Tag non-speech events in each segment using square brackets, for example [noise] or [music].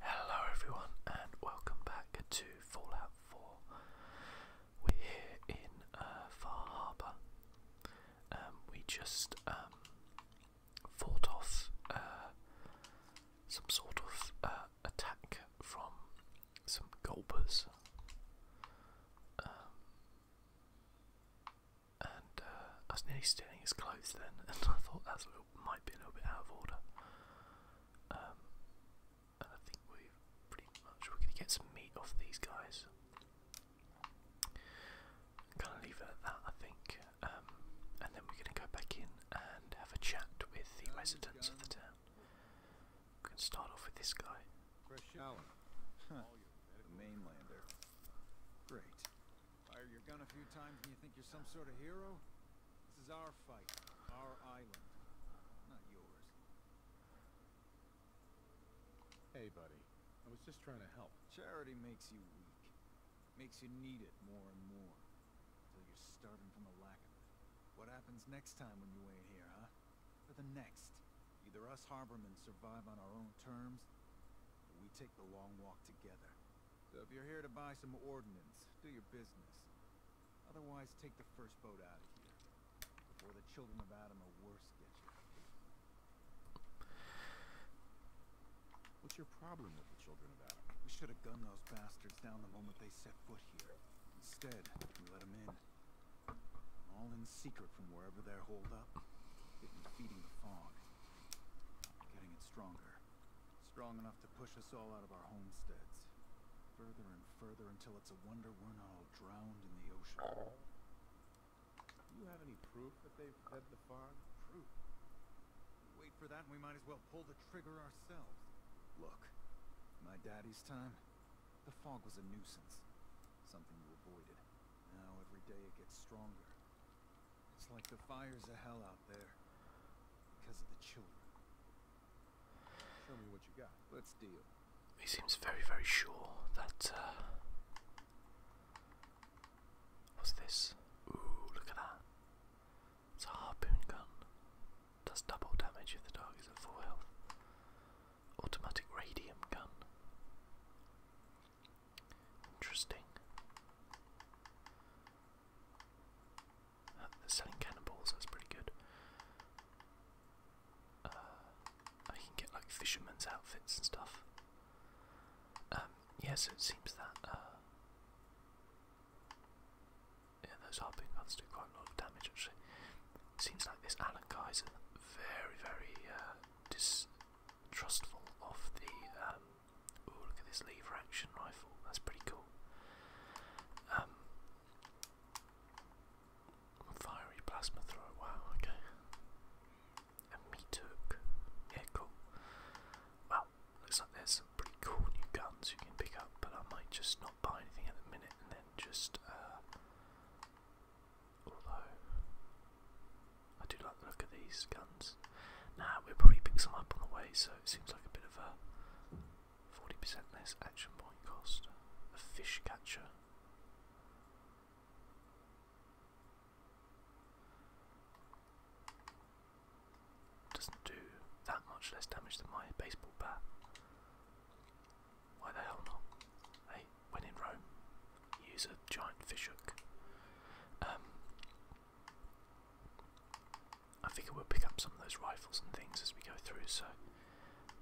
Hello everyone and welcome back to Fallout 4. We're here in uh, Far Harbour. Um, we just um, fought off uh, some sort of uh, attack from some gulpers. Um, and uh, I was nearly stealing his clothes then, [laughs] and I thought that's a might be a little bit out of order. Um, I think we've pretty much we're gonna get some meat off these guys. Kind of leave it at that, I think. Um, and then we're gonna go back in and have a chat with the residents of the town. We can start off with this guy. Great. Fire your gun a few times and you think you're some sort of hero? This is our fight, our island, not yours. Hey, buddy. I was just trying to help. Charity makes you weak. Makes you need it more and more. Until you're starving from the lack of it. What happens next time when you ain't here, huh? For the next? Either us harbormen survive on our own terms, or we take the long walk together. So if you're here to buy some ordnance, do your business. Otherwise, take the first boat out of here. Before the children of Adam are worse get you. What's your problem with the children of Adam? We should have gunned those bastards down the moment they set foot here. Instead, we let them in. All in secret from wherever they're holed up. feeding the fog. Getting it stronger. Strong enough to push us all out of our homesteads. Further and further until it's a wonder we're not all drowned in the ocean. Do you have any proof that they've fed the fog? Proof? Wait for that and we might as well pull the trigger ourselves. Look, my daddy's time, the fog was a nuisance. Something you avoided. Now every day it gets stronger. It's like the fires of hell out he seems very, very sure that. Uh, what's this? Ooh, look at that. It's a harpoon gun. Does double damage if the target is at full health. Automatic radium gun. Interesting. Uh, selling cannonballs, that's pretty good. Uh, I can get like fishermen's outfits and stuff. Um, yeah, so it seems that. Uh, yeah, those hopping guns do quite a lot of damage actually. Seems like this Alan guy very, very distrustful of the um, Ooh, look at this lever action rifle. That's pretty cool. Um, fiery plasma thrower. Wow. Okay. meat hook. Yeah, cool. Well, looks like there's some pretty cool new guns you can pick up, but I might just not buy anything at the minute and then just. Uh, although I do like the look of these guns. Now, we'll probably pick some up on the way, so it seems like a bit of a 40% less action point cost. A fish catcher. Doesn't do that much less damage than my baseball bat. Why the hell not? Hey, when in Rome, use a giant fish hook. Um, I figure we'll pick up some of those rifles and things as we go through, so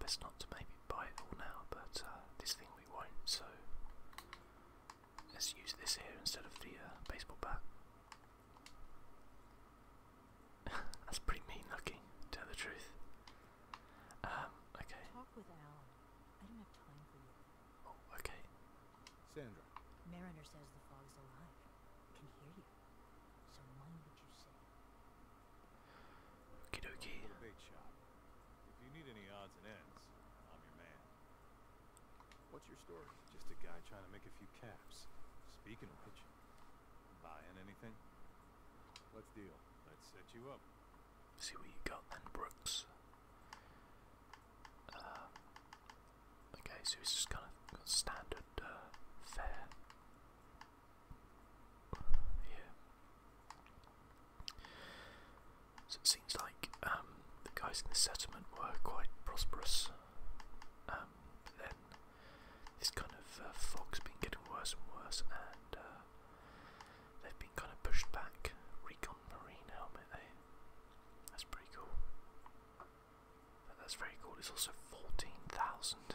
best not to maybe buy it all now, but uh, this thing we won't, so let's use this here instead of the uh, baseball bat. [laughs] That's pretty mean looking, tell the truth. Um, okay. Oh, okay. Sandra. Mariner says the fog's alive. Can hear you. So mind what you say. Okie If you need any odds and ends, I'm your man. What's your story? Just a guy trying to make a few caps. Speaking of which, buying anything? Let's deal. Let's set you up. See what you got then, Brooks. Uh, Okay, so it's just kind of standard uh, fare. Yeah. So it seems like um, the guys in the settlement were quite prosperous. Um, then this kind of uh, fog's been getting worse and worse, and uh, they've been kind of pushed back. Recon Marine helmet, eh? That's pretty cool that's very cool. It's also 14,000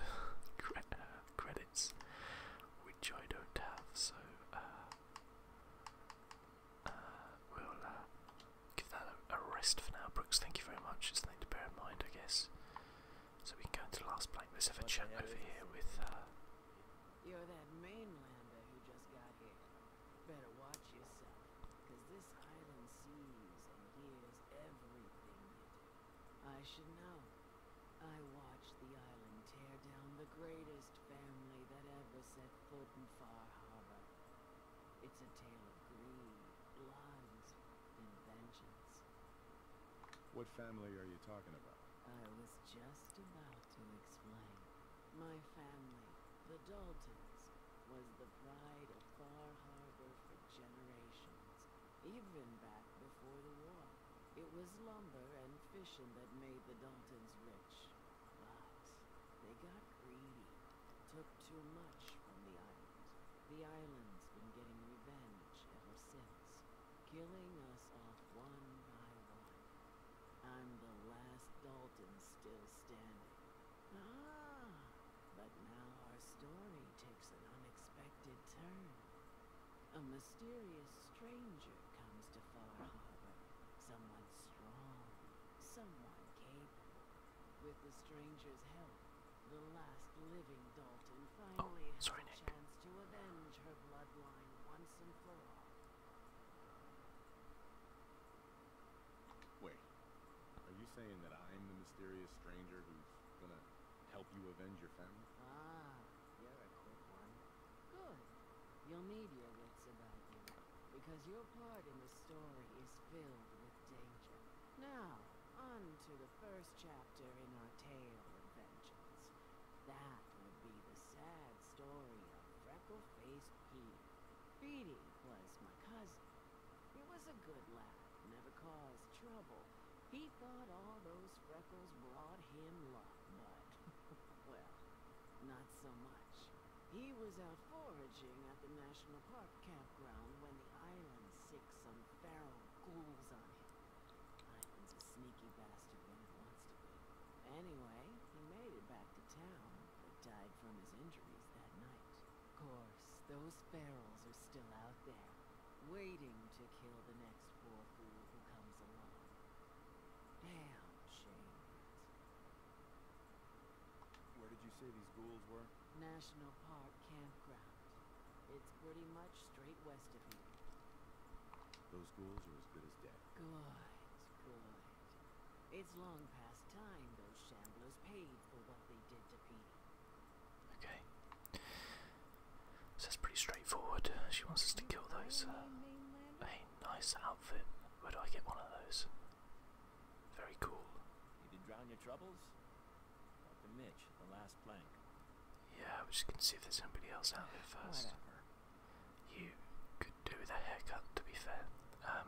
uh, credits, which I don't have, so uh, uh we'll uh, give that a, rest for now. Brooks, thank you very much. It's something to bear in mind, I guess. So we can go into the last blank. Let's have a what over here with. Better watch yourself, because this island sees and hears everything I should know. I watched the island tear down the greatest family that ever set foot in Far Harbor. It's a tale of greed, lies, and vengeance. What family are you talking about? I was just about to explain. My family, the Daltons, was the pride of Far Harbor for generations, even back before the war. It was lumber and fishing that made the Daltons rich, but they got greedy, took too much from the island. The island's been getting revenge ever since, killing us off one by one. I'm the last Dalton still standing. Ah, a mysterious stranger comes to Far Harbor. Someone strong, someone capable. With the stranger's help, the last living Dalton finally oh, sorry, has a Nick. chance to avenge her bloodline once and for all. Wait, are you saying that I'm the mysterious stranger who's gonna help you avenge your family? Ah, yeah, are a quick one. Good. You'll need your wits about you, because your part in the story is filled with danger. Now, on to the first chapter in our tale of vengeance. That would be the sad story of Freckle-Faced Peter. Petey was my cousin. It was a good lad, never caused trouble. He thought all those freckles brought him luck, but, [laughs] well, not so much. He was out foraging at the National Park campground when the island sick some feral ghouls on him. Island's a sneaky bastard when it wants to be. Anyway, he made it back to town, but died from his injuries that night. Of course, those ferals are still out there, waiting to kill the next poor fool who comes along. Damn shame. Where did you say these ghouls were? National Park Campground. It's pretty much straight west of here. Those ghouls are as good as dead. Good, good. It's long past time those shamblers paid for what they did to Petey. Okay. So that's pretty straightforward. She wants us to kill those. Uh, a nice outfit. Where do I get one of those? Very cool. You did drown your troubles? Talk to Mitch, the last plank. Yeah, we just can see if there's somebody else out there first. You could do with a haircut, to be fair. Um,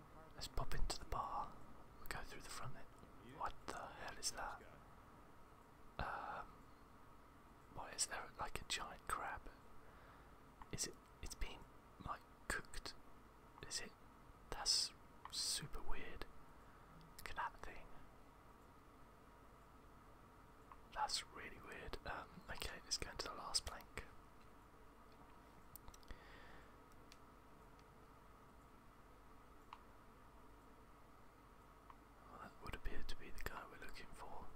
Let's pop into the bar. We'll go through the front then. What the hell is that? Um, why like a giant crab? Is it? It's been like cooked. Is it? That's super weird. Look at that thing. That's really weird. Um, okay, let's go into the last plank that would appear to be the guy we're looking for.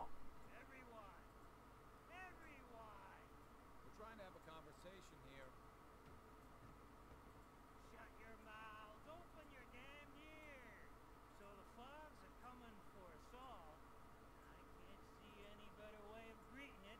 Oh. Everyone! Everyone! We're trying to have a conversation here. Shut your mouths, open your damn ears. So the fogs are coming for us all. I can't see any better way of greeting it.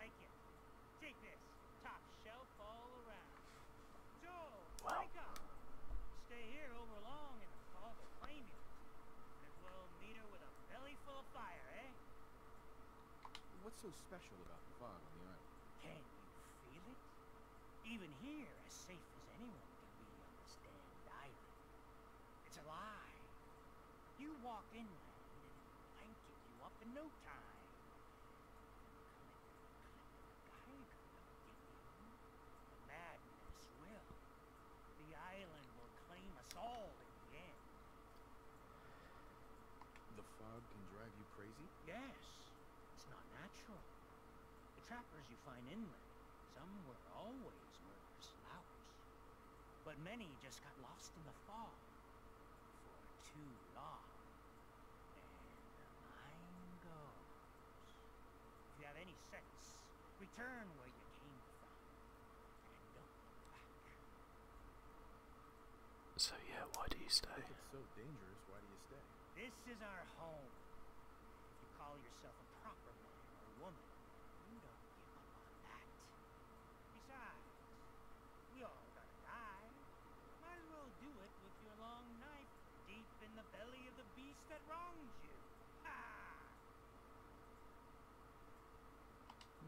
Like it. Take this. Top shelf all around. So, wake up. Stay here over long and the will flame you. And we'll meet her with a belly full of fire, eh? What's so special about the fog on the island? Can you feel it? Even here, as safe as anyone can be on this damned island, it's a lie. You walk inland and it blanket you up in no time. The madness will. The island will claim us all in the end. The fog can drive you crazy? Yes. It's not natural. The trappers you find inland, some were always murderous louts. But many just got lost in the fog for too long. If you have any sense, return where you came from. And don't look back. So yeah, why do you stay? This is our home. If you call yourself a proper man or woman, Besides, we all gotta die. Might as well do it with your long knife deep in the belly of the beast that wrongs you. Ha!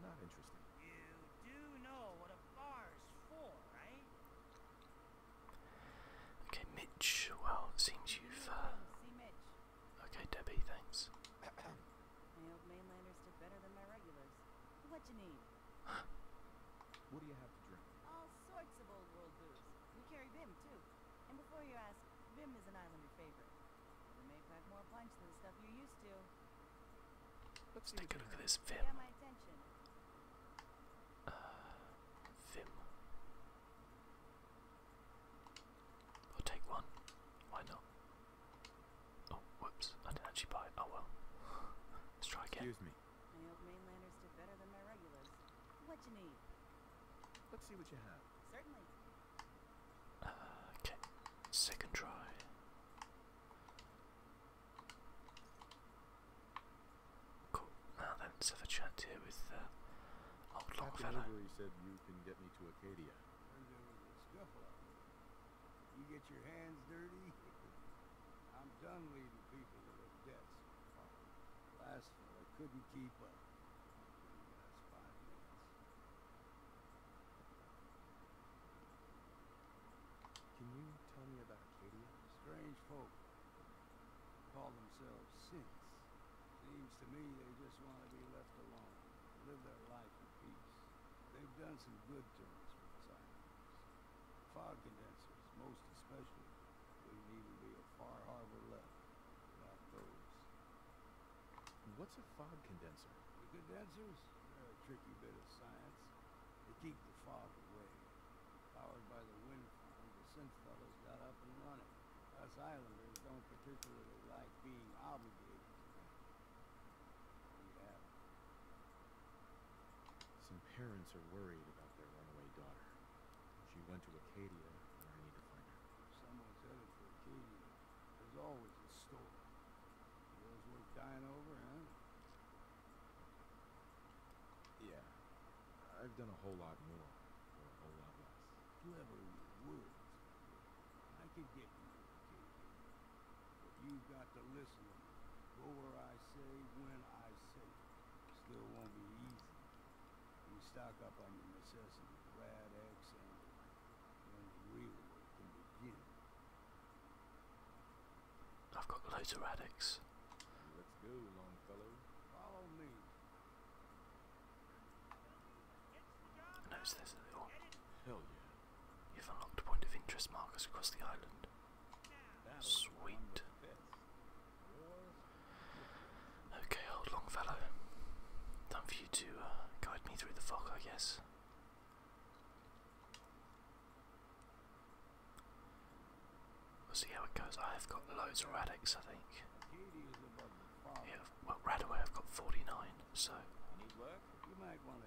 Not interesting. You do know what a bar is for, right? Okay, Mitch. Well, it seems you've. Uh, Okay, Debbie, thanks. [coughs] What do you have All sorts of old world booze. We carry Bim too. And before you ask, Bim is an islander favorite. We may pack more punch than stuff you used to. Let's take a look at this Vim. Uh, Vim. I'll take one. Why not? Oh, whoops! I didn't actually buy Oh well. Let's try again. Excuse me. Let's see what you have. Uh, okay. Second try. Cool. Now then, let's have a chat here with uh, old Longfellow. said you can get me to Acadia. You get your hands dirty. [laughs] I'm done leaving people with their debts. Last I couldn't keep up. Can you tell me about Acadia? Strange folk. Call themselves synths. Seems to me they just want to be left alone. Live their life in peace. They've done some good to us with cyanide. Fog condensers, most especially. would need to be a far harbor left without those. What's a fog condenser? The condensers? They're a tricky bit of science. They keep the fog away. Powered by the wind farm, the synth fellas got up and running. Us islanders don't particularly like being obligated to some parents are worried about their runaway daughter. She went to Acadia, and I need to find her. Someone's headed for Acadia. There's always a story. Girls worth dying over, huh? Yeah. I've done a whole lot more, for a whole lot less. Clever words. I can get you a but you've got to listen Go where I say, when I say. Still won't be easy. stock up on your necessities, rad X, and I've got loads of radix. Let's go, Longfellow. Follow me. I notice there's a little Hell yeah. You've unlocked point of interest markers across the island. Sweet. Okay, old Longfellow. Time for you to uh, guide me through the fog, I guess. We'll see how it goes. I have got loads of radics, I think. Yeah, well, right away I've got 49, so. Need work? My look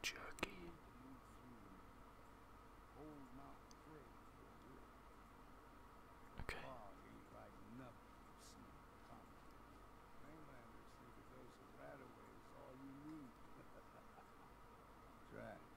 jerky. Okay. [laughs]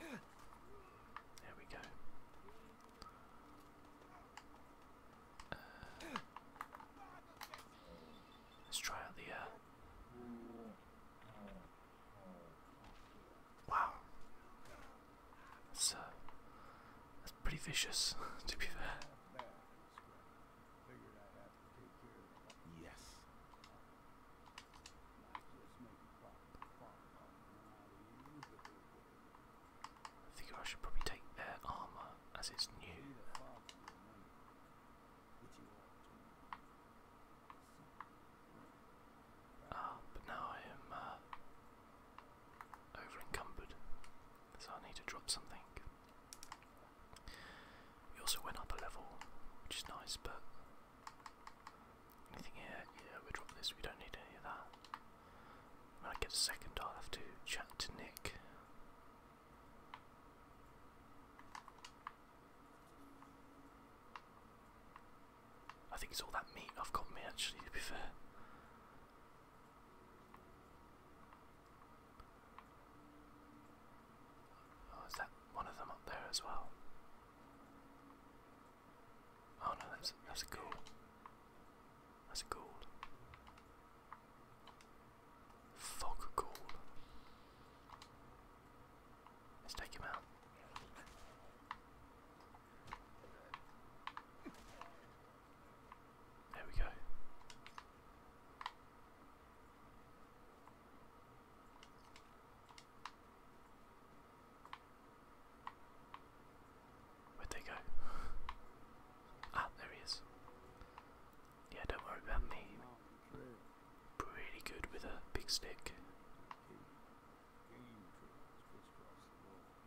There we go. Uh, let's try out the. Uh, wow, that's uh, that's pretty vicious [laughs] to be fair. Yes. I think I should probably take their armor as it's new. Ah, but now I am uh, over encumbered, so I need to drop something. We also went up a level, which is nice, but anything here, yeah, we'll drop this, we don't need any of that. When I get a second, I'll have to chat to Nick. I think it's all that meat I've got me actually, to be fair. Oh, is that one of them up there as well? Oh no, that's that's gold. That's gold. Fuck gold. Let's take him out. There we go. Where'd they go? ah, there he is. Yeah, don't worry about me. Pretty good with a big stick.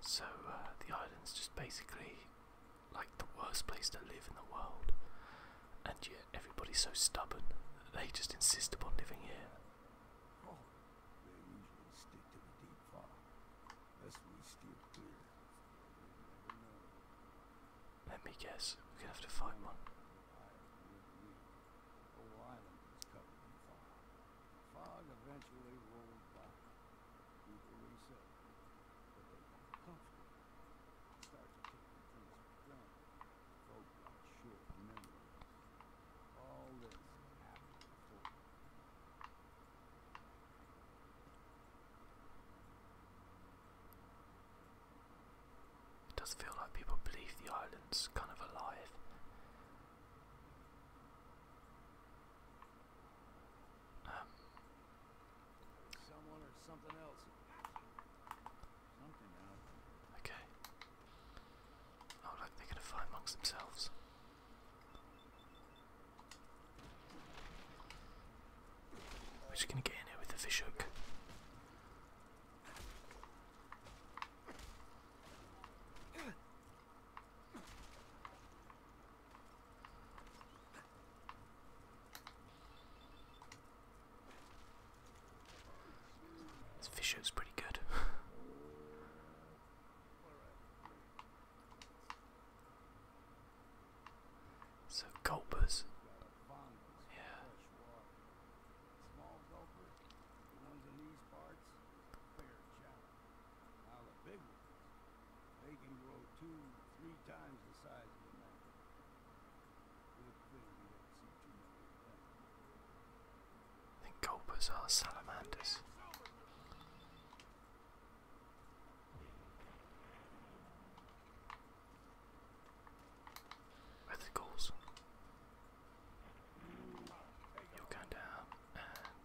So uh, the island's just basically like the worst place to live in the world, and yet everybody's so stubborn that they just insist upon living here. Oh, Let me guess, we're gonna have to find one. The island was covered in fog. The fog eventually rolled by. People resettled, they got comfortable. Started taking things for granted. Folk got memories. All this happened It does feel like people believe the island's kind of alive. Someone or something else. Something else. Okay. Oh look, they're gonna fight amongst themselves. We're just gonna get in here with the fishhook. This is pretty good. So gulpers. Yeah. Small gulper, the ones in these parts, fair challenge. Now the big ones, they can grow two, three times the size of a man. I think gulpers are salamanders. Where You'll go down and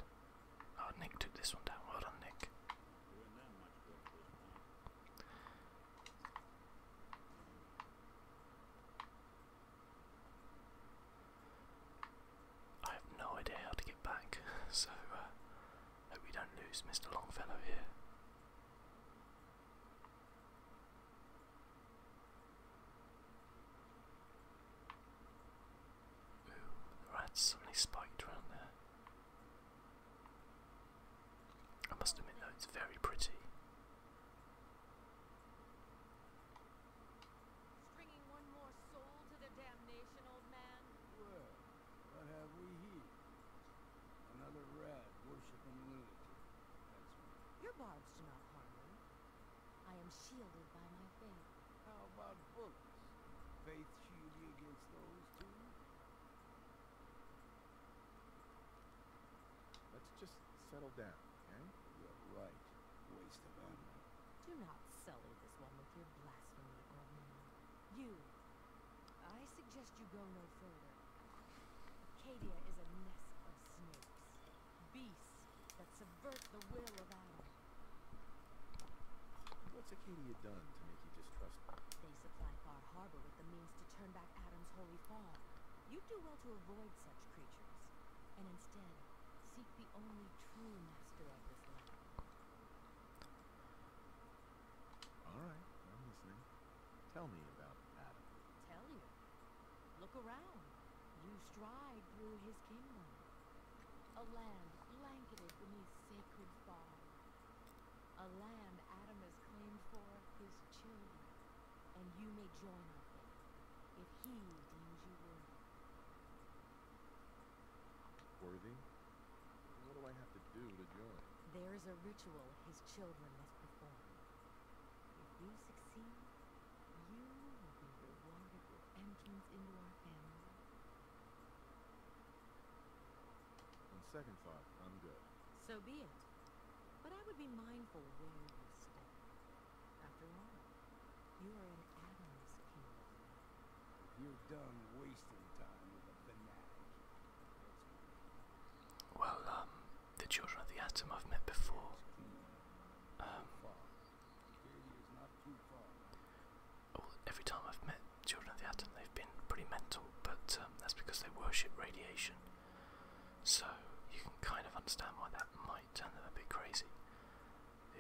oh Nick took this one down. Well done Nick. I have no idea how to get back, [laughs] so uh, hope we don't lose Mr. Longfellow here. Ooh, right, suddenly spiked round there. I must admit though, it's very pretty. Stringing one more soul to the damnation, old man. what have we here? Another rat worshipping lunatic. Your barbs do not I am shielded by my faith. How about bullets? Faith shield against those too? Let's just settle down, okay? You're right. Waste of ammo. Do not sully this one with your blasphemy, Ormond. You. I suggest you go no further. Acadia is a nest of snakes beasts that subvert the will of Adam. What's Acadia done to make you distrust them? They supply Far Harbor with the means to turn back Adam's holy fall. You'd do well to avoid such creatures, and instead seek the only true master of this land. All right, I'm listening. Tell me about Adam. Tell you? Look around. You stride through his kingdom. A land blanketed beneath sacred fog. A land Adam has claimed for his children. And you may join up there, if he deems you worthy. Worthy? What do I have to do to join? There is a ritual his children must perform. If you succeed, you will be rewarded with entrance into our family. On second thought, I'm good. So be it. But I would be mindful where you step. After all, you are in Adam's You're done wasting time with a fanatic. Well, um, the children of the atom I've met before. Um, every time I've met children of the atom, they've been pretty mental, but um, that's because they worship radiation. So you can kind of understand why that might turn them a bit crazy.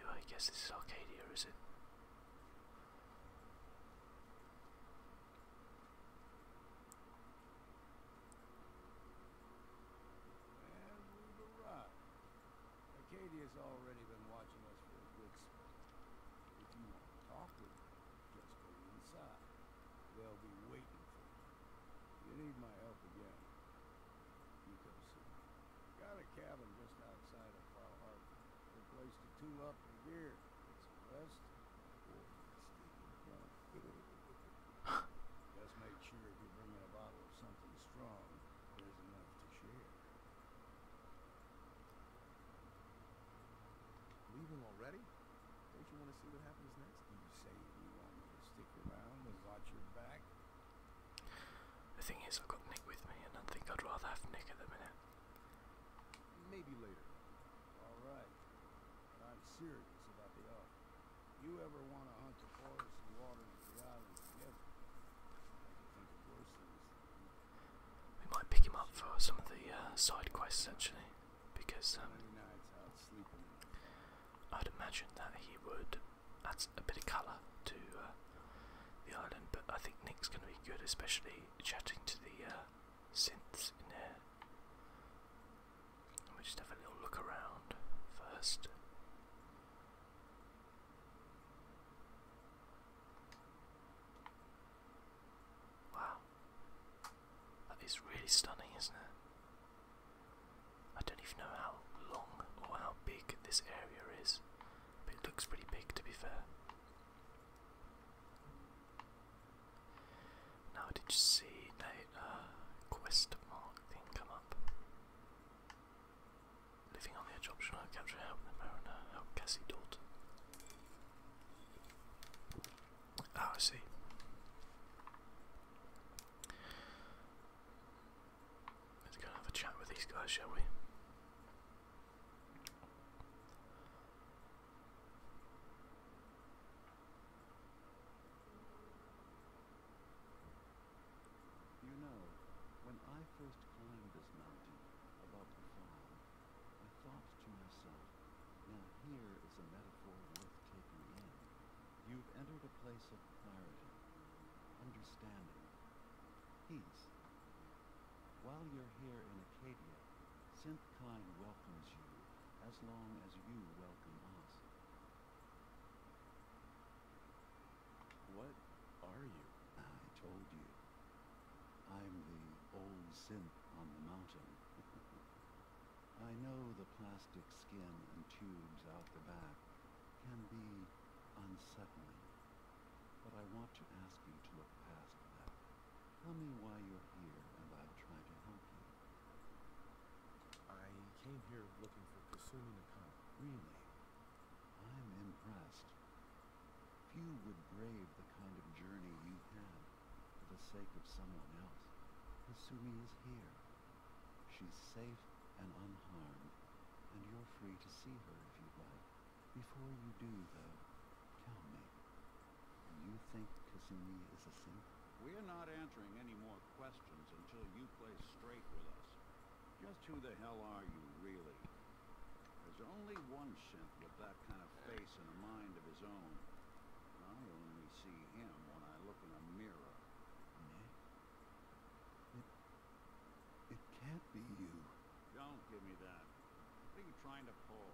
I guess this is Arcadia, is it? And we already been watching us for a good spell. If you want to talk with her, just go inside. They'll be waiting for you. You need my help again. You have Got a cabin just outside of Far Harbor. Good place to tool up your gear. It's a rest just make sure if you bring in a bottle of something strong, there's enough to share. Leaving already? Don't you want to see what happens next? You say you want me to stick around and watch your back? The thing is, I've got Nick with me, and I think I'd rather have Nick at the minute. Maybe later. Alright. I'm serious about the you ever want to hunt the forest and water and the island together, we might pick him up for some of the uh, side quests essentially, because um, I'd imagine that he would add a bit of colour to uh, the island. But I think Nick's going to be good, especially chatting to the uh, synths in there. Let me just have a little look around first. Wow. That is really stunning, isn't it? I don't even know how long or how big this area is, but it looks pretty big to be fair. Now, did you see? Uh, quest mark thing come up. Living on the edge option, I capture help the mariner, help Cassie Dalton. Ah, I see. Let's go have a chat with these guys, shall we? You know, when I first climbed this mountain above the I thought to myself, now here is a metaphor worth taking in. You've entered a place of clarity, understanding, peace. While you're here in Acadia, Synthkind welcomes you as long as you welcome us. What are you? I told you. I'm the old synth on the mountain. [laughs] I know the plastic skin and tubes out the back can be unsettling, but I want to ask you to look past that. Tell me why you're here and I'll try to help you. I came here looking for Kasumi Nakano. Really? I'm impressed. Few would brave the kind of journey you've had for the sake of someone else. Kasumi is here. She's safe and unharmed, and you're free to see her if you'd like. Before you do, though, tell me, do you think Kasumi is a simp? We're not answering any more questions until you play straight with us. Just who the hell are you, really? There's only one synth with that kind of face and a mind of his own. I only see him when I look in a mirror. it can't be you. Don't give me that. What are you trying to pull?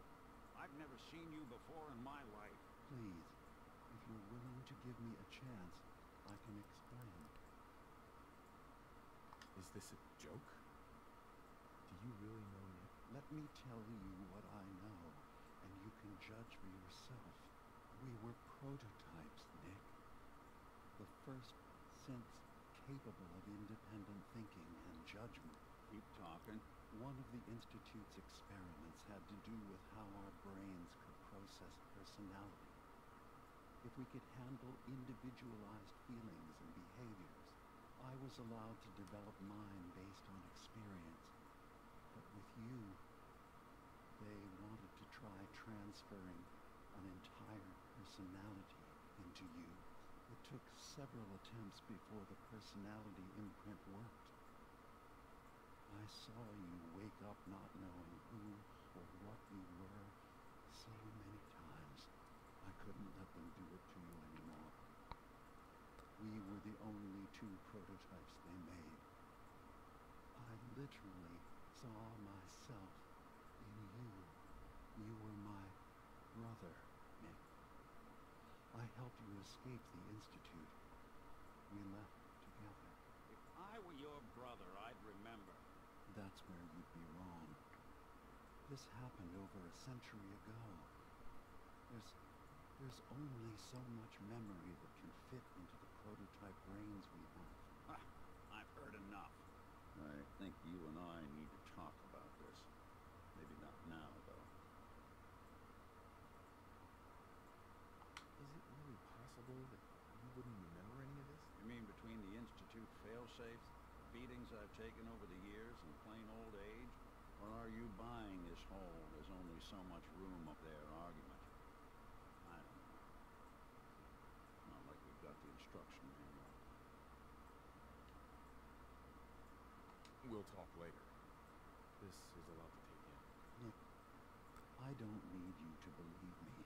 I've never seen you before in my life. Please, if you're willing to give me a chance, I can explain. Is this a joke? Do you really know yet? Let me tell you what I know, and you can judge for yourself. We were prototypes, Nick. The first since capable of independent thinking and judgment. Keep talking. One of the Institute's experiments had to do with how our brains process personality, if we could handle individualized feelings and behaviors, I was allowed to develop mine based on experience. But with you, they wanted to try transferring an entire personality into you. It took several attempts before the personality imprint worked. I saw you wake up not knowing who or what you were so many times. I couldn't let them do it to you anymore. We were the only two prototypes they made. I literally saw myself in you. You were my brother, Nick. I helped you escape the Institute. We left together. If I were your brother, I'd remember. That's where you'd be wrong. This happened over a century ago. There's... there's only so much memory that can fit into the prototype brains we have. I've heard enough. I think you and I need to talk about this. Maybe not now, though. Is it really possible that you wouldn't remember any of this? You mean between the Institute failsafes, beatings I've taken over the years, and plain old age? Or are you buying this whole there's only so much room up there argument? I don't know. not like we've got the instruction manual. We'll talk later. This is a lot to take in. I don't need you to believe me.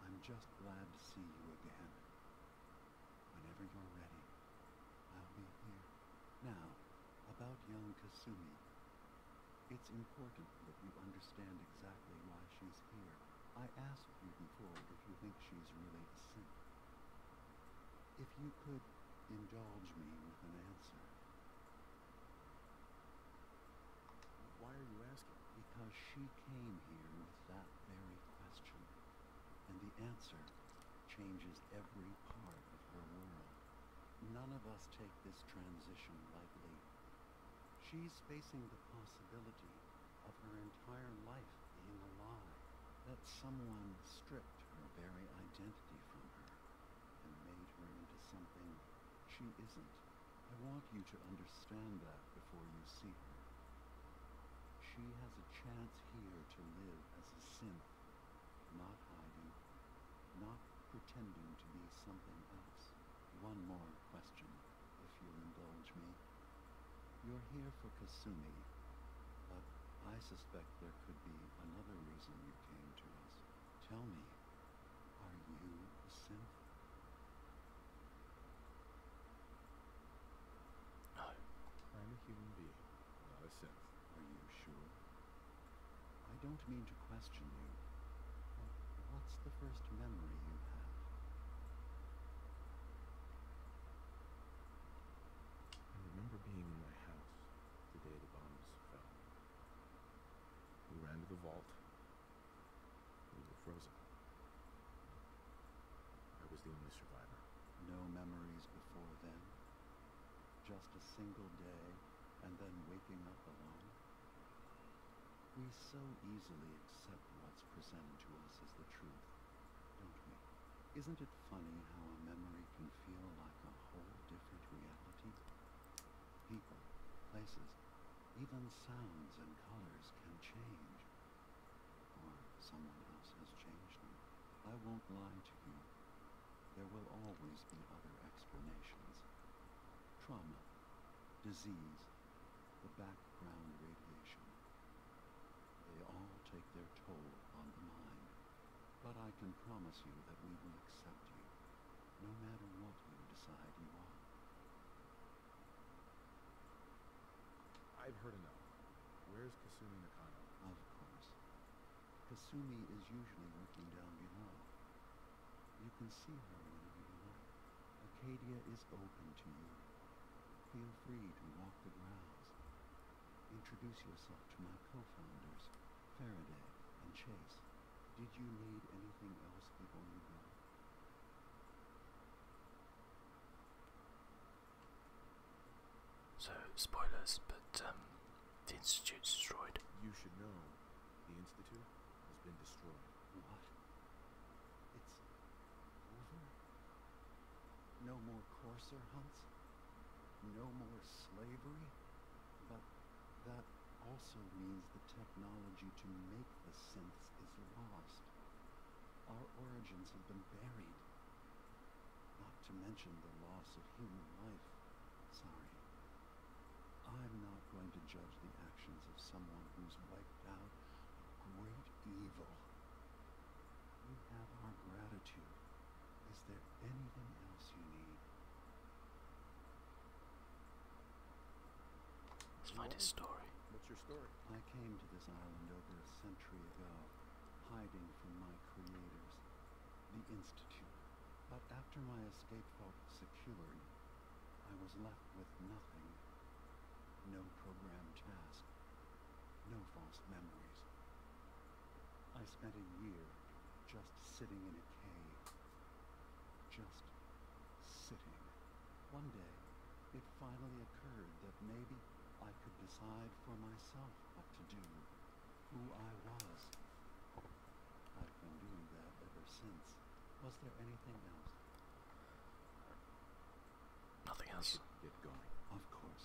I'm just glad to see you again. Whenever you're ready, I'll be here. Now, about young Kasumi. It's important that you understand exactly why she's here. I asked you before if you think she's really a saint. If you could indulge me with an answer, why are you asking? Because she came here with that very question, and the answer changes every part of her world. None of us take this transition lightly. She's facing the possibility of her entire life being a lie, that someone stripped her very identity from her and made her into something she isn't. I want you to understand that before you see her. She has a chance here to live as a synth, not hiding, not pretending to be something else. One more question, if you'll indulge me. You're here for Kasumi, but I suspect there could be another reason you came to us. Tell me, are you a synth? No. I'm a human being, not a synth. Are you sure? I don't mean to question you, what's the first memory you have? I remember being in my house the day the bombs fell. We ran to the vault. We were frozen. I was the only survivor. No memories before then? Just a single day, and then waking up alone? We so easily accept what's presented to us as the truth, don't we? Isn't it funny how a memory can feel like a whole different reality? places, even sounds and colors can change. Or someone else has changed them. I won't lie to you. There will always be other explanations. Trauma, disease, the background radiation. They all take their toll on the mind. But I can promise you that we will accept you no matter what you decide you are. I've heard enough. Where's Kasumi Nakano? Of course. Kasumi is usually working down below. You can see her whenever you like. Acadia is open to you. Feel free to walk the grounds. Introduce yourself to my co-founders. Faraday, and Chase. Did you need anything else before you go? So, spoilers, but um, the Institute's destroyed. You should know. The Institute has been destroyed. What? It's over? No more Corsair hunts? No more slavery? That also means the technology to make the synths is lost. Our origins have been buried. Not to mention the loss of human life. Sorry. I'm not going to judge the actions of someone who's wiped out a great evil. We have our gratitude. Let's find his story. What's your story? I came to this island over a century ago, hiding from my creators, the Institute. But after my escape felt secured, I was left with nothing. No program task. No false memories. I spent a year just sitting in a cave, just sitting. One day, it finally occurred that maybe I could decide for myself what to do, who I was. I've been doing that ever since. Was there anything else? Nothing else. Get going. Of course.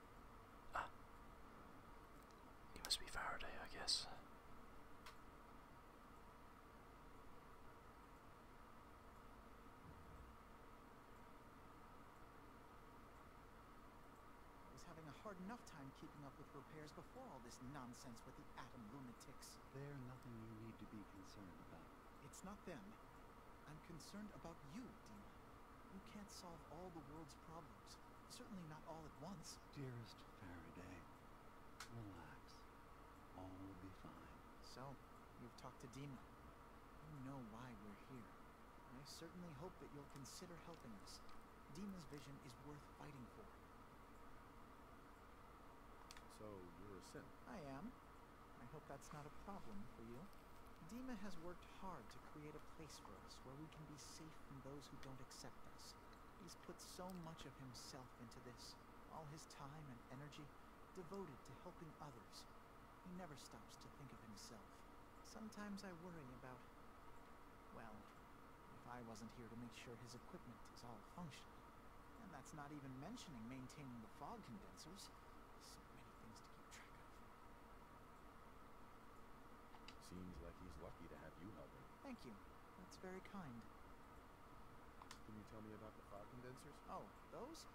Ah. He must be Faraday, I guess. I was having a hard enough time keeping up with repairs before all this nonsense with the atom lunatics. They're nothing you need to be concerned about. It's not them. I'm concerned about you, Dima. You can't solve all the world's problems. Certainly not all at once. Dearest Faraday, relax. All will be fine. So, you've talked to Dima. You know why we're here. I certainly hope that you'll consider helping us. Dima's vision is worth fighting for. So, you're a simp? I am. I hope that's not a problem for you. Dima has worked hard to create a place for us where we can be safe from those who don't accept us. He's put so much of himself into this, all his time and energy devoted to helping others. He never stops to think of himself. Sometimes I worry about, well, if I wasn't here to make sure his equipment is all functional. And that's not even mentioning maintaining the fog condensers. So many things to keep track of. Seems like he's lucky to have you helping. him. Thank you. That's very kind. Can you tell me about the fog condensers? Oh, those?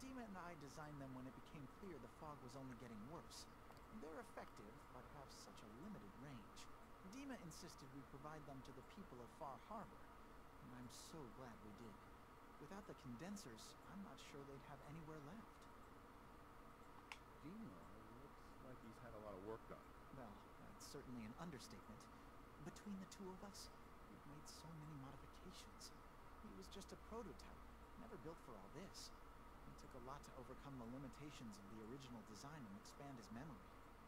Dima and I designed them when it became clear the fog was only getting worse. They're effective, but have such a limited range. Dima insisted we provide them to the people of Far Harbor, and I'm so glad we did. Without the condensers, I'm not sure they'd have anywhere left. Gino looks like he's had a lot of work done. Well, that's certainly an understatement. Between the two of us, we've made so many modifications. He was just a prototype, never built for all this. It took a lot to overcome the limitations of the original design and expand his memory.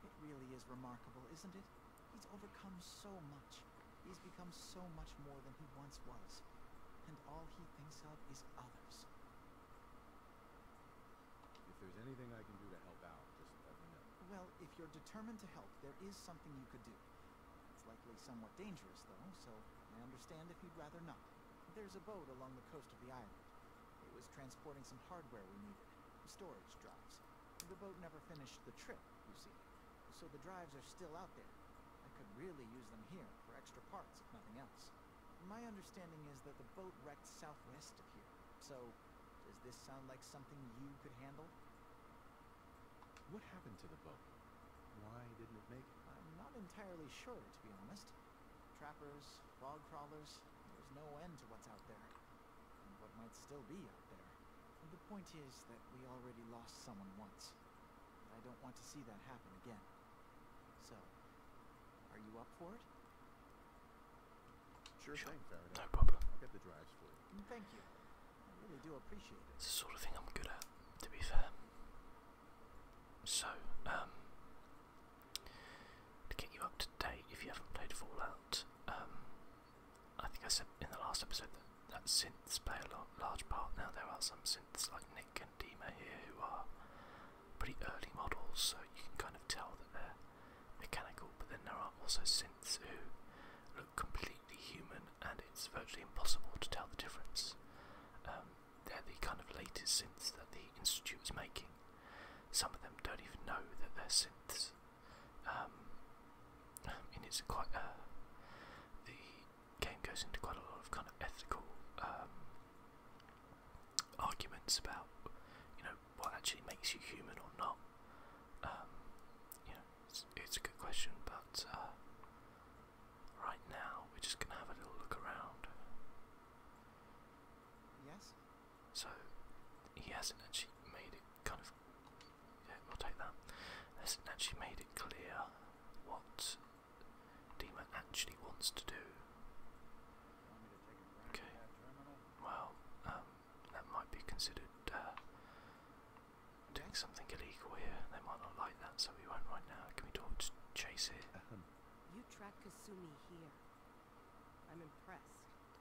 It really is remarkable, isn't it? He's overcome so much. He's become so much more than he once was. And all he thinks of is others. If there's anything I can do to help out, just let me know. Well, if you're determined to help, there is something you could do. It's likely somewhat dangerous, though, so I understand if you'd rather not. There's a boat along the coast of the island. It was transporting some hardware we needed, storage drives. The boat never finished the trip, you see so the drives are still out there. I could really use them here for extra parts, if nothing else. My understanding is that the boat wrecked southwest of here, so does this sound like something you could handle? What happened to the boat? Why didn't it make it? I'm not entirely sure, to be honest. Trappers, fog crawlers, there's no end to what's out there. And what might still be out there. The point is that we already lost someone once. I don't want to see that happen again. So, are you up for it? Sure, sure. thing, Faraday. No problem. I'll get the drives for you. Mm, thank you. I really do appreciate it. It's the sort of thing I'm good at, to be fair. So, um, to get you up to date, if you haven't played Fallout, um, I think I said in the last episode that that synths play a lot, large part. Now there are some synths like Nick and Dima here who are pretty early models, so you can kind of tell that they're mechanical. But then there are also synths who look completely human, and it's virtually impossible to tell the difference. Um, they're the kind of latest synths that the institute is making. Some of them don't even know that they're synths. Um, [laughs] I mean, it's quite uh, the game goes into quite a lot of kind of ethical um, arguments about you know what actually makes you human or not. Um, you know, it's, a good question, but uh, right now we're just gonna have a little look around. Yes. So he hasn't actually made it kind of. Yeah, we'll take that. Hasn't actually made it clear what Dima actually wants to do. Okay. Well, um, that might be considered uh, doing something illegal here. They might not like that, so we won't right now. Can we talk to Chasey? You track Kasumi here. I'm impressed.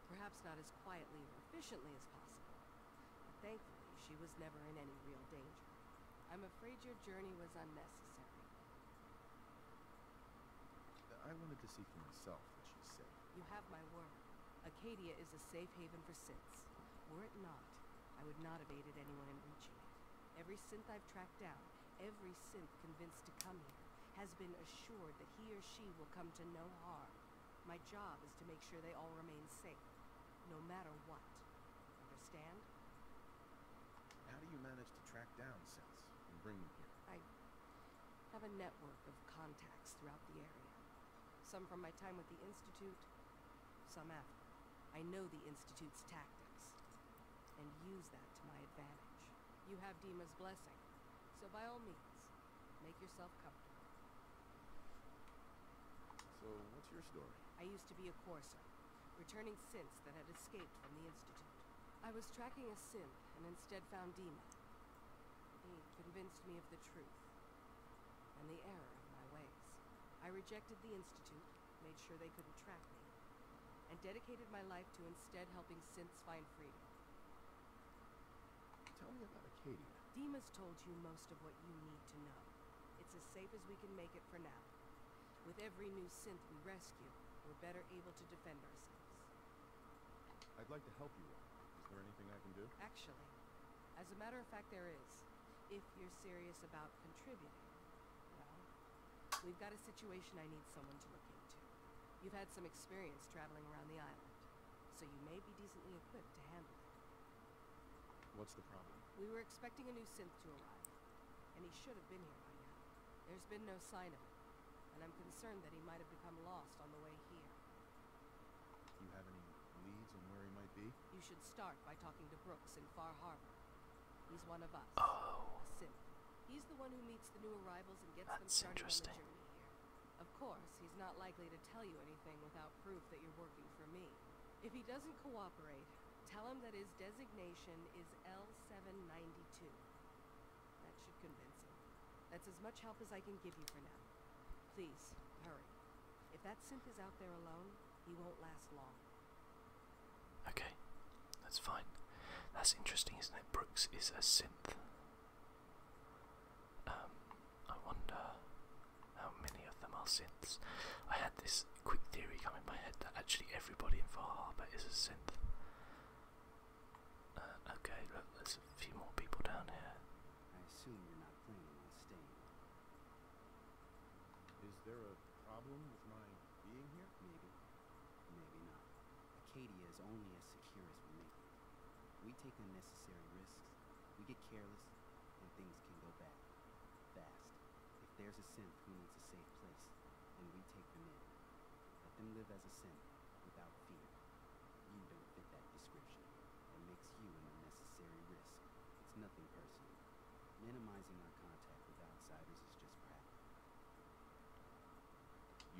Perhaps not as quietly or efficiently as possible. But thankfully, she was never in any real danger. I'm afraid your journey was unnecessary. I wanted to see for myself that she's safe. You have my word. Acadia is a safe haven for synths. Were it not, I would not have aided anyone in reaching it. Every synth I've tracked down, every synth convinced to come here, has been assured that he or she will come to no harm. My job is to make sure they all remain safe, no matter what. Understand? How do you manage to track down Sense and bring them here? I have a network of contacts throughout the area. Some from my time with the Institute, some after. I know the Institute's tactics, and use that to my advantage. You have Dima's blessing, so by all means, make yourself comfortable. So, what's your story? I used to be a Corsair returning synths that had escaped from the Institute. I was tracking a synth and instead found Dema. He convinced me of the truth and the error of my ways. I rejected the Institute, made sure they couldn't track me, and dedicated my life to instead helping synths find freedom. Tell me about Acadia. Dema's told you most of what you need to know. It's as safe as we can make it for now. With every new synth we rescue, we're better able to defend ourselves. I'd like to help you all. Is there anything I can do? Actually, as a matter of fact, there is. If you're serious about contributing, well, we've got a situation I need someone to look into. You've had some experience traveling around the island, so you may be decently equipped to handle it. What's the problem? We were expecting a new synth to arrive, and he should have been here by now. There's been no sign of him, and I'm concerned that he might have become lost on the way here. You have any leads on where he might be? You should start by talking to Brooks in Far Harbor. He's one of us. Oh. A synth. He's the one who meets the new arrivals and gets them started on the journey here. Of course, he's not likely to tell you anything without proof that you're working for me. If he doesn't cooperate, tell him that his designation is L792. That should convince him. That's as much help as I can give you for now. Please, hurry. If that synth is out there alone, he won't last long. Okay, that's fine. That's interesting, isn't it? Brooks is a synth. Um, I wonder how many of them are synths. I had this quick theory come in my head that actually everybody in Far Harbor is a synth. Uh, okay, there's a few more people down here. I assume you're not planning on staying. Is there a problem with my being here? Maybe. Maybe not. Acadia is only as secure as we make it. We take unnecessary risks. We get careless and things can go bad. Fast. If there's a synth who needs a safe place, and we take them in. Let them live as a synth, without fear. You don't fit that description. That makes you an unnecessary risk. It's nothing personal. Minimizing our contact with outsiders is just practical.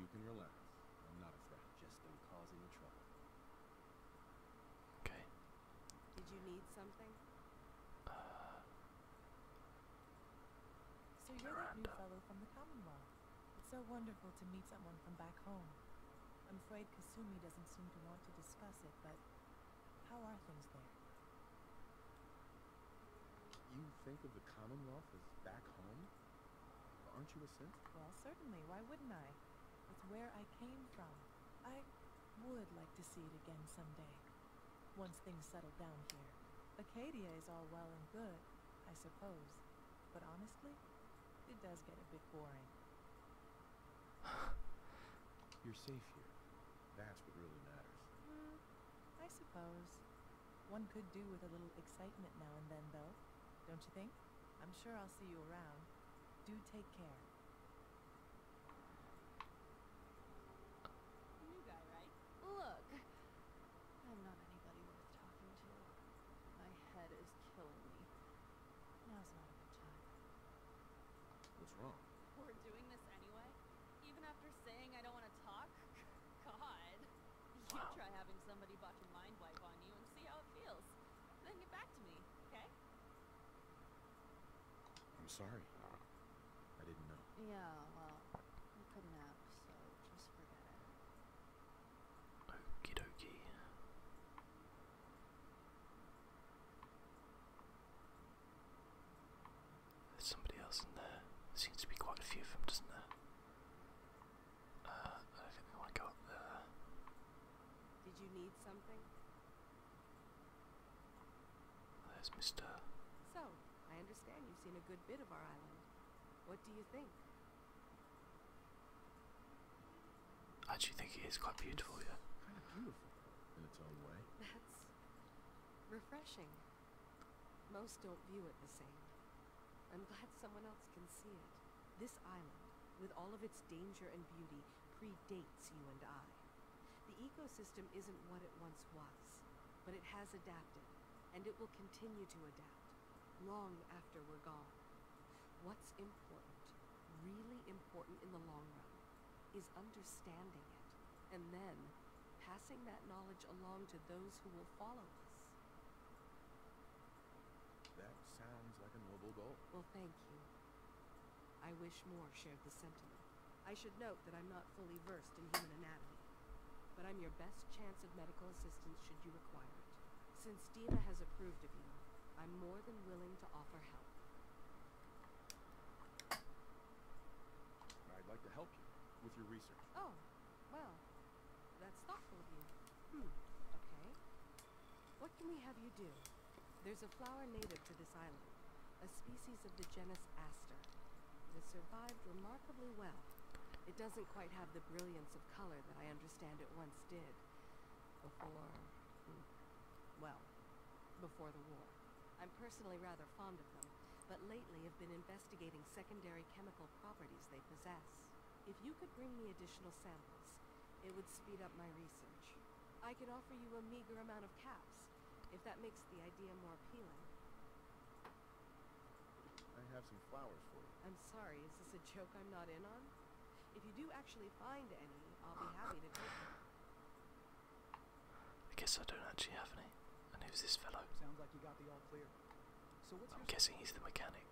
You can relax. I'm not a threat. Just don't cause any trouble. Okay. Did you need something? so you're that new fellow from the Commonwealth. It's so wonderful to meet someone from back home. I'm afraid Kasumi doesn't seem to want to discuss it, but how are things there? You think of the Commonwealth as back home? Aren't you a synth? Well, certainly. Why wouldn't I? It's where I came from. I would like to see it again someday, once things settle down here. Acadia is all well and good, I suppose, but honestly, it does get a bit boring. [sighs] You're safe here. That's what really matters. Hmm, I suppose. One could do with a little excitement now and then, though, don't you think? I'm sure I'll see you around. Do take care. Look, I'm not anybody worth talking to. My head is killing me. Now's not a time. What's wrong? We're doing this anyway. Even after saying I don't want to talk. God, you try having somebody bought your mind wipe on you and see how it feels. Then get back to me, okay? I'm sorry. I didn't know. Yeah, well, you couldn't have, so just forget it. Okie dokie. There's somebody else in there. seems to be quite a few of them, doesn't there? Uh, I think we want there. Did you need something? There's Mr. So, I understand you've seen a good bit of our island. What do you think? I actually think it is quite beautiful, yeah. Kind of beautiful in its own way. [laughs] That's refreshing. Most don't view it the same. I'm glad someone else can see it. This island, with all of its danger and beauty, predates you and I. The ecosystem isn't what it once was, but it has adapted, and it will continue to adapt, long after we're gone. What's important, really important in the long run, is understanding it, and then passing that knowledge along to those who will follow us. That sounds like a noble goal. Well, thank you. I wish more shared the sentiment. I should note that I'm not fully versed in human anatomy, but I'm your best chance of medical assistance should you require it. Since Diva has approved of you, I'm more than willing to offer help. I'd like to help you with your research. Oh, well, that's thoughtful of you. Hmm, okay. What can we have you do? There's a flower native to this island, a species of the genus Aster. It has survived remarkably well. It doesn't quite have the brilliance of color that I understand it once did. Before... Hmm, well, before the war. I'm personally rather fond of them, but lately have been investigating secondary chemical properties they possess. If you could bring me additional samples, it would speed up my research. I can offer you a meager amount of caps, if that makes the idea more appealing. I have some flowers for you. I'm sorry, is this a joke I'm not in on? If you do actually find any, I'll be happy to take them. I guess I don't actually have any. And who's this fellow? Sounds like you got the all clear. So what's I'm guessing he's the mechanic.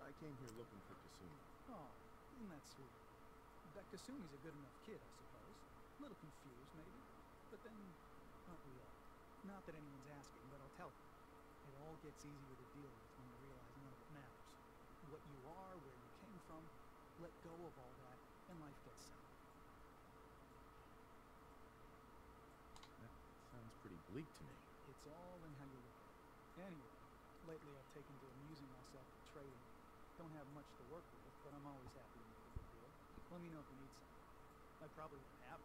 I came here looking for Cassini. Oh, that's not that sweet? Dr. Sumi's a good enough kid, I suppose. A little confused, maybe. But then, aren't we all? Not that anyone's asking, but I'll tell It all gets easier to deal with when you realize none of it matters. What you are, where you came from, let go of all that, and life gets simple. That sounds pretty bleak to me. It's all in how you look at it. Anyway, lately I've taken to amusing myself with trading. Don't have much to work with, but I'm always happy to make a good deal. Let me know if you need something. I probably won't have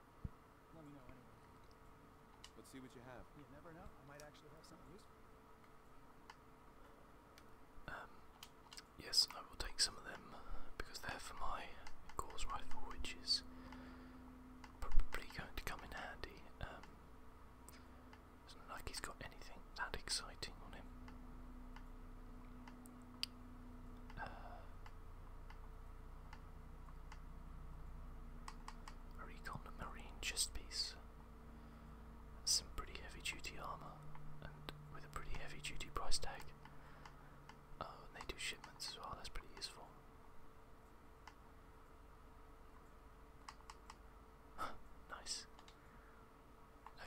Let me know anyway. Let's see what you have. You never know. I might actually have something useful. Um, yes, I will take some of them because they're for my Gauss rifle, which is probably going to come in handy. Um, it's not like he's got anything that exciting on him. Uh, a recon marine chest piece. Some pretty heavy duty armour and with a pretty heavy duty price tag. Uh, they do shipments as well, that's pretty useful. nice.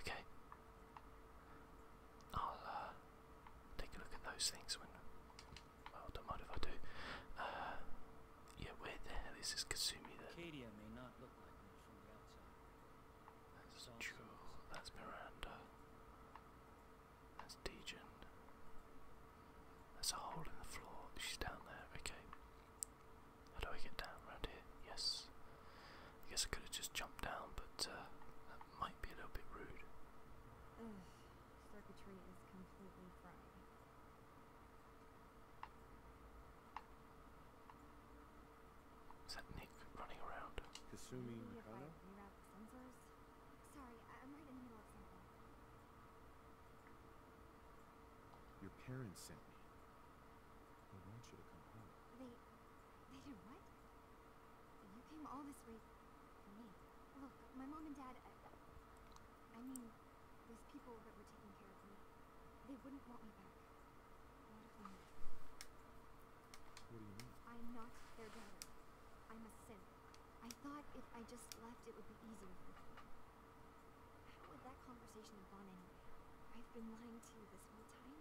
Okay. I'll uh, take a look at those things when. Well, don't if I do. Uh, yeah, where the hell is this Kasumi That's Jewel, that's Miranda, that's Dejin. There's a hole in the floor, she's down there, okay. How do I get down around here? Yes. I guess I could have just jumped down, but uh, that might be a little bit rude. is that Nick running around? Kasumi your parents sent me. They want you to come home. They... they did what? You came all this way for me. Look, my mom and dad... I, I mean, those people that were taking care of me, they wouldn't want me back. What if they knew? What do you mean? I'm not their daughter. I'm a sin. I thought if I just left, it would be easier for them. How would that conversation have gone anyway? I've been lying to you this whole time.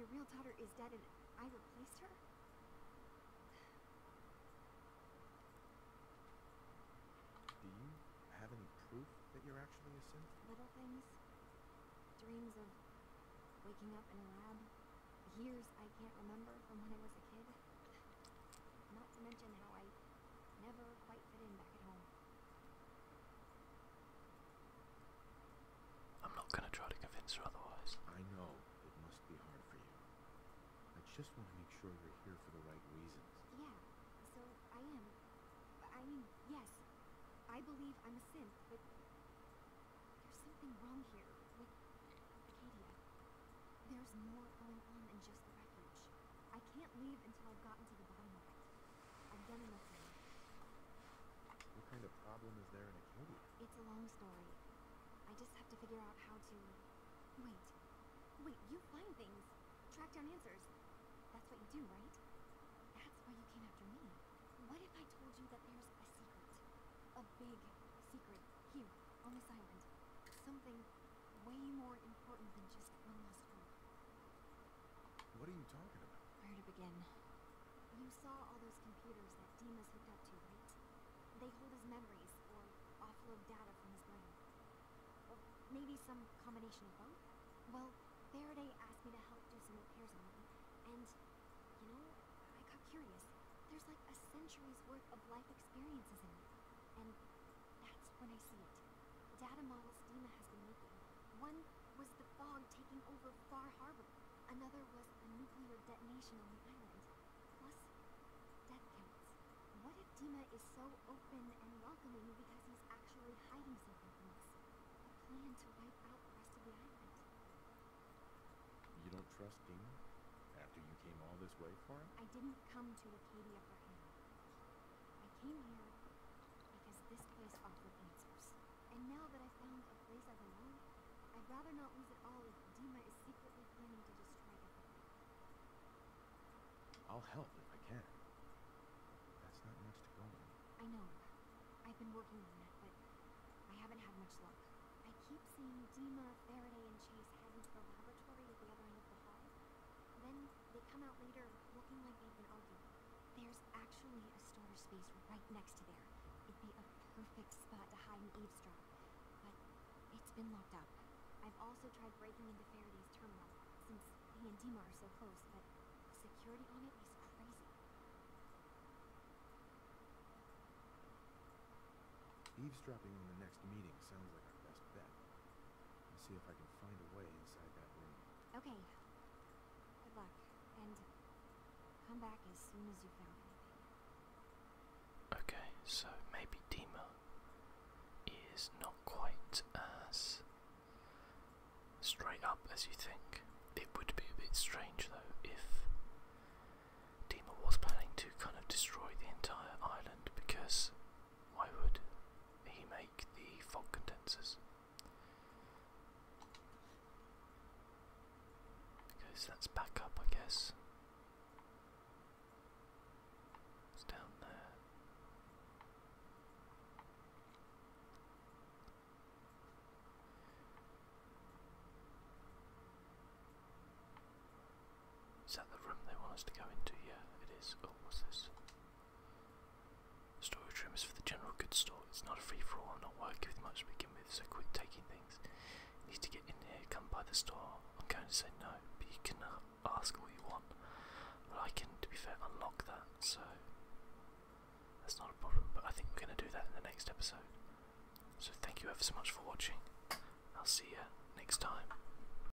Your real daughter is dead and I replaced her? Do you have any proof that you're actually a synth? Little things. Dreams of waking up in a lab. Years I can't remember from when I was a kid. Not to mention how I I'm not going to try to convince her otherwise. I know it must be hard for you. I just want to make sure you're here for the right reasons. Yeah, so I am. I mean, yes, I believe I'm a synth, but there's something wrong here with Acadia. There's more going on than just the I can't leave until I've gotten to the bottom of it. I've done enough What kind of problem is there in a cave? It's a long story. I just have to figure out how to... Wait. Wait, you find things. Track down answers. That's what you do, right? That's why you came after me. What if I told you that there's a secret? A big secret here on this island. Something what are you talking about? Where to begin? You saw all those computers that Dima's hooked up to, right? They hold his memories, or offload data from his brain. Or maybe some combination of both? Well, Faraday asked me to help do some repairs on them, and, you know, I got curious. There's like a century's worth of life experiences in me. And that's when I see it. data models Dima has been making. One was the fog taking over Far Harbor. Another was a nuclear detonation on the island. Plus, death counts. What if Dima is so open and welcoming because he's actually hiding something from us? A plan to wipe out the rest of the island. You don't trust Dima? After you came all this way for him? I didn't come to Acadia for him. I came here because this place offered answers. And now that i found a place I belong, I'd rather not lose it all if Dima is secretly planning to destroy everything. I'll help if I can. That's not much to go on. I know. I've been working on it, but I haven't had much luck. I keep seeing Dima, Faraday, and Chase head into the laboratory at the other end of the hall. Then they come out later looking like they've been arguing. There's actually a storage space right next to there. It'd be a perfect spot to hide and eavesdrop. But it's been locked up. I've also tried breaking into Faraday's terminal, since he and Dimar are so close, but security on it is crazy. Eavesdropping in the next meeting sounds like our best bet and see if I can find a way inside that room. Okay. Good luck, and come back as soon as you found anything. Okay, so maybe Dima is not quite as straight up as you think. It would be a bit strange though if Dima was planning to kind of destroy the entire island because why would he make the fog condensers. Because that's back I guess. It's down there. Is that the room they want us to go into? Yeah, it is. Oh, what's this? Storage room is for the general goods store. It's not a free-for-all. I'm not working with much to begin with, so quick taking things. You need to get in here. Come by the store. I'm going to say no, but you can ask all you want. Well, I can, to be fair, unlock that, so that's not a problem. But I think we're going to do that in the next episode. So thank you ever so much for watching. I'll see you next time.